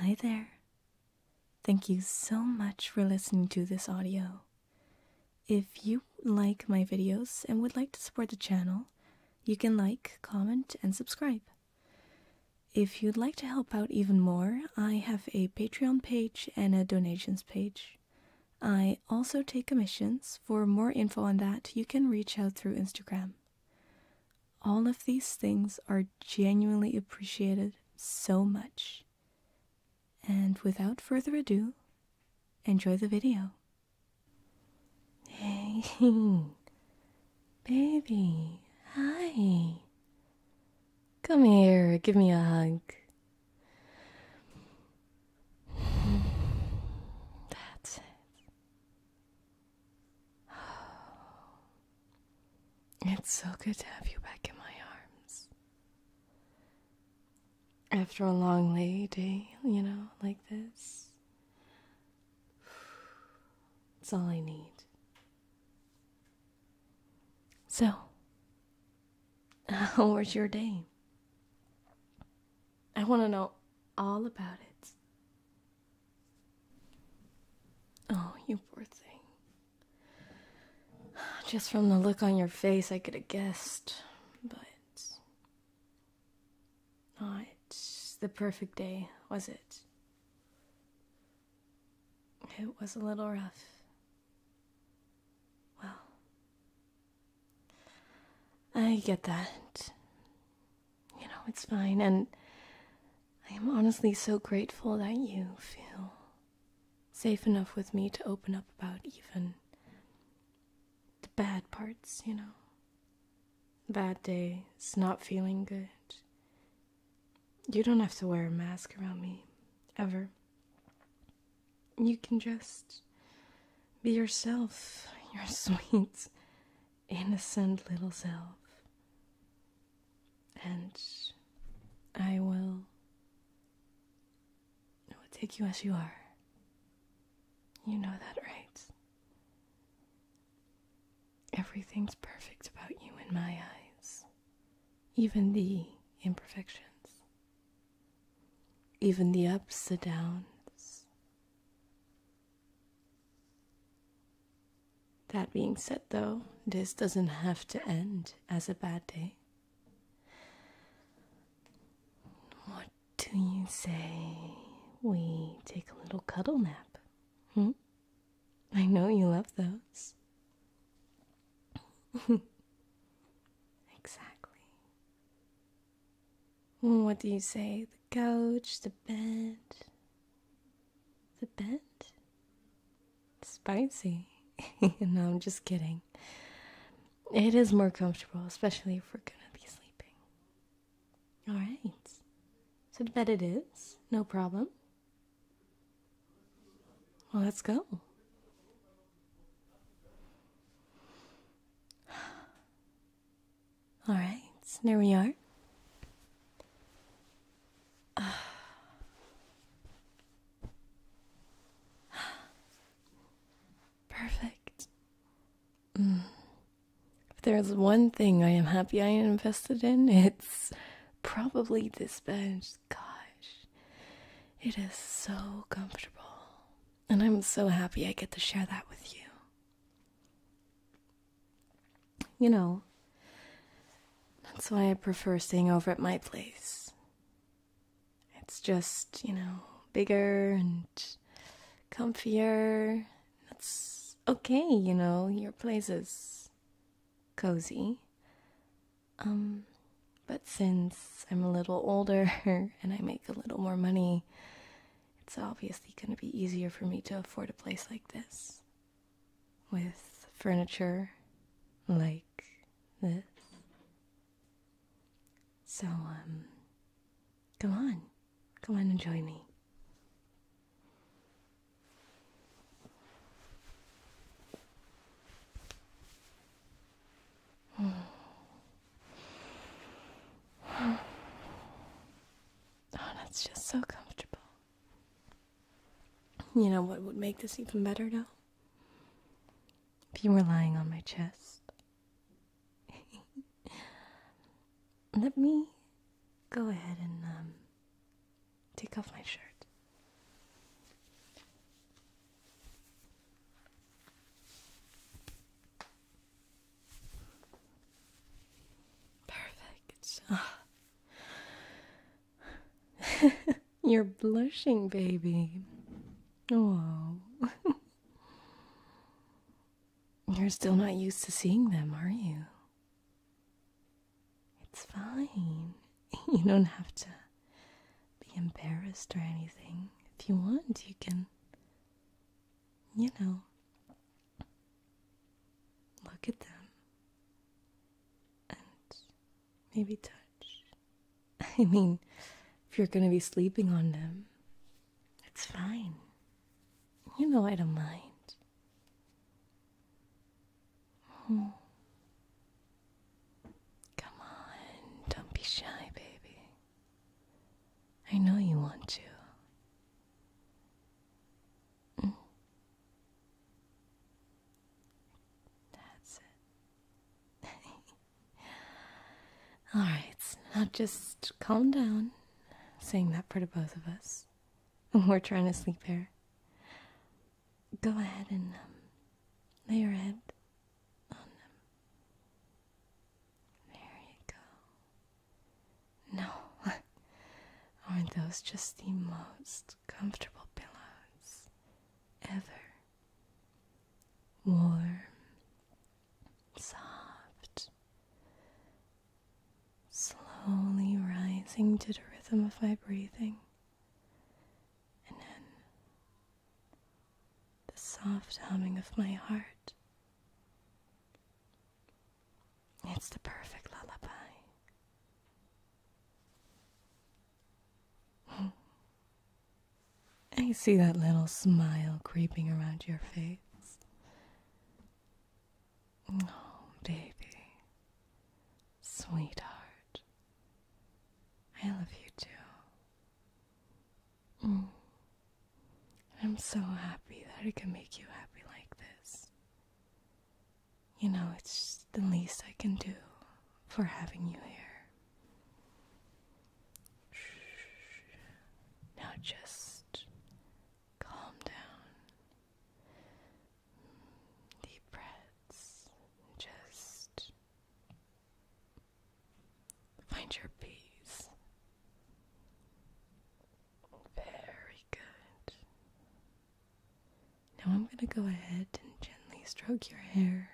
Hi there. Thank you so much for listening to this audio. If you like my videos and would like to support the channel, you can like, comment, and subscribe. If you'd like to help out even more, I have a Patreon page and a donations page. I also take commissions. For more info on that, you can reach out through Instagram. All of these things are genuinely appreciated so much. And without further ado, enjoy the video. Hey, baby, hi. Come here, give me a hug. That's it. It's so good to have you back in my arms. After a long lay day, you know, like this, it's all I need. So, where's your day? I want to know all about it. Oh, you poor thing. Just from the look on your face, I could have guessed, but not the perfect day, was it? It was a little rough. Well, I get that. You know, it's fine. And I am honestly so grateful that you feel safe enough with me to open up about even the bad parts, you know. Bad days, not feeling good. You don't have to wear a mask around me, ever. You can just be yourself. You're sweet innocent little self. And I will, I will take you as you are. You know that, right? Everything's perfect about you in my eyes, even the imperfections, even the ups, and downs, that being said, though, this doesn't have to end as a bad day. What do you say we take a little cuddle nap? Hmm? I know you love those. exactly. What do you say couch, the bed. The bed? Spicy. no, I'm just kidding. It is more comfortable, especially if we're gonna be sleeping. Alright. So the bed it is, no problem. Well, let's go. All right, there we are. perfect. Mm. If there's one thing I am happy I invested in, it's probably this bench. Gosh, it is so comfortable. And I'm so happy I get to share that with you you know, that's why I prefer staying over at my place. It's just, you know, bigger and comfier. That's okay, you know, your place is cozy. Um, but since I'm a little older and I make a little more money, it's obviously going to be easier for me to afford a place like this. With furniture like this. So, um, come on. Come on and join me. Oh, that's just so comfortable. You know what would make this even better, though? If you were lying on my chest. Let me go ahead and um, take off my shirt. Perfect. You're blushing, baby. Oh. You're still not used to seeing them, are you? It's fine. You don't have to be embarrassed or anything. If you want, you can, you know, look at them and maybe touch. I mean, if you're going to be sleeping on them, it's fine. You know, I don't mind. Oh. Come on, don't be shy, baby. I know you want to. Mm. That's it. All right, now just calm down. Saying that for the both of us. We're trying to sleep here. Go ahead and um, lay your head on them. There you go. No, aren't those just the most comfortable pillows ever? Warm, soft, slowly rising to the rhythm of my breathing, and then the soft humming of my heart. It's the perfect lullaby. I see that little smile creeping around your face. Oh, baby. Sweetheart. I love you too. Mm. I'm so happy that I can make you happy like this you know, it's the least I can do for having you here. Now just calm down. Deep breaths. Just find your peace. Very good. Now I'm going to go ahead and gently stroke your hair,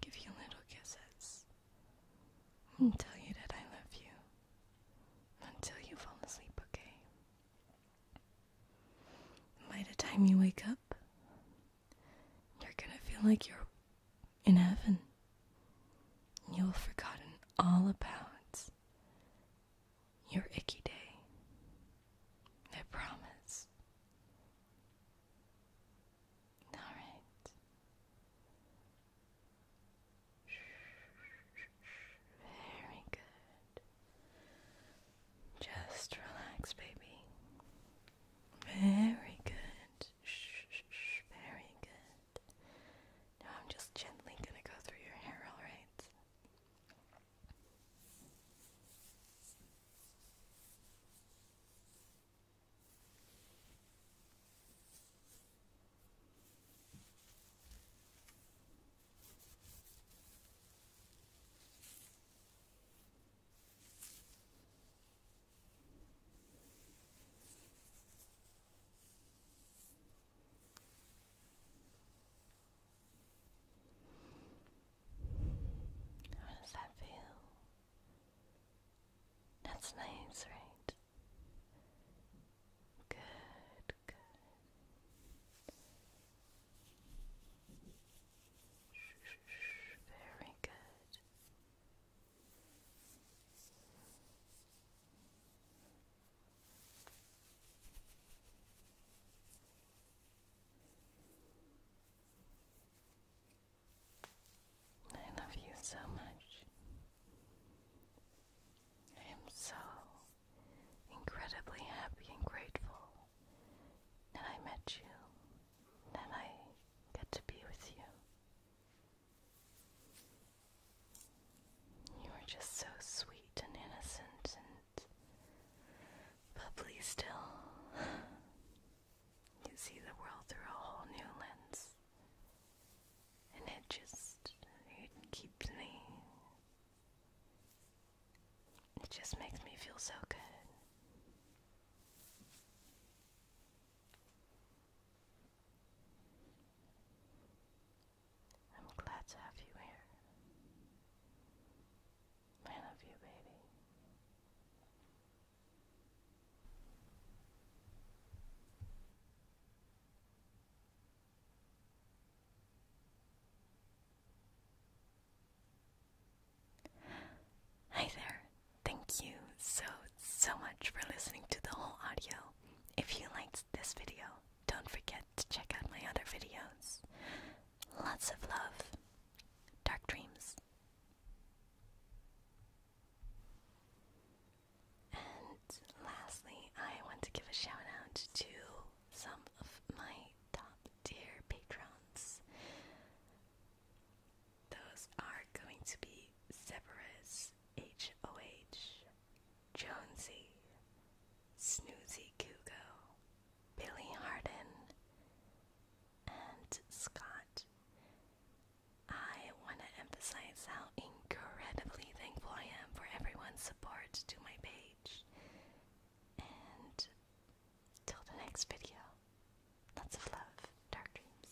give you little kisses, and tell you that I love you until you fall asleep, okay? By the time you wake up, you're going to feel like you're in heaven. You'll have forgotten all about your icky day. I promise. All right. Very good. Just relax, baby. Very good. Very good. I'm just gently going to go through your hair, all right? How does that feel? That's nice, right? Good, good. Very good. I love you so much. I am so incredibly happy and grateful that I met you, that I get to be with you. You are just so sweet and innocent and bubbly still. You see the world through a whole new lens. And it just it keeps me it just makes me feel so good. I'm glad to have you here. I love you, baby. Hi there. Thank you so, so much for listening to the whole audio. If you liked this video, don't forget to check out my other videos. Lots of love. Dark dreams. And lastly, I want to give a shout out to some of my top tier patrons. Those are going to be Severus HOH, Jonesy, Snoozy Kugo, Billy Harden, and Scott. I want to emphasize how incredibly thankful I am for everyone's support to my page. And till the next video, lots of love, dark dreams.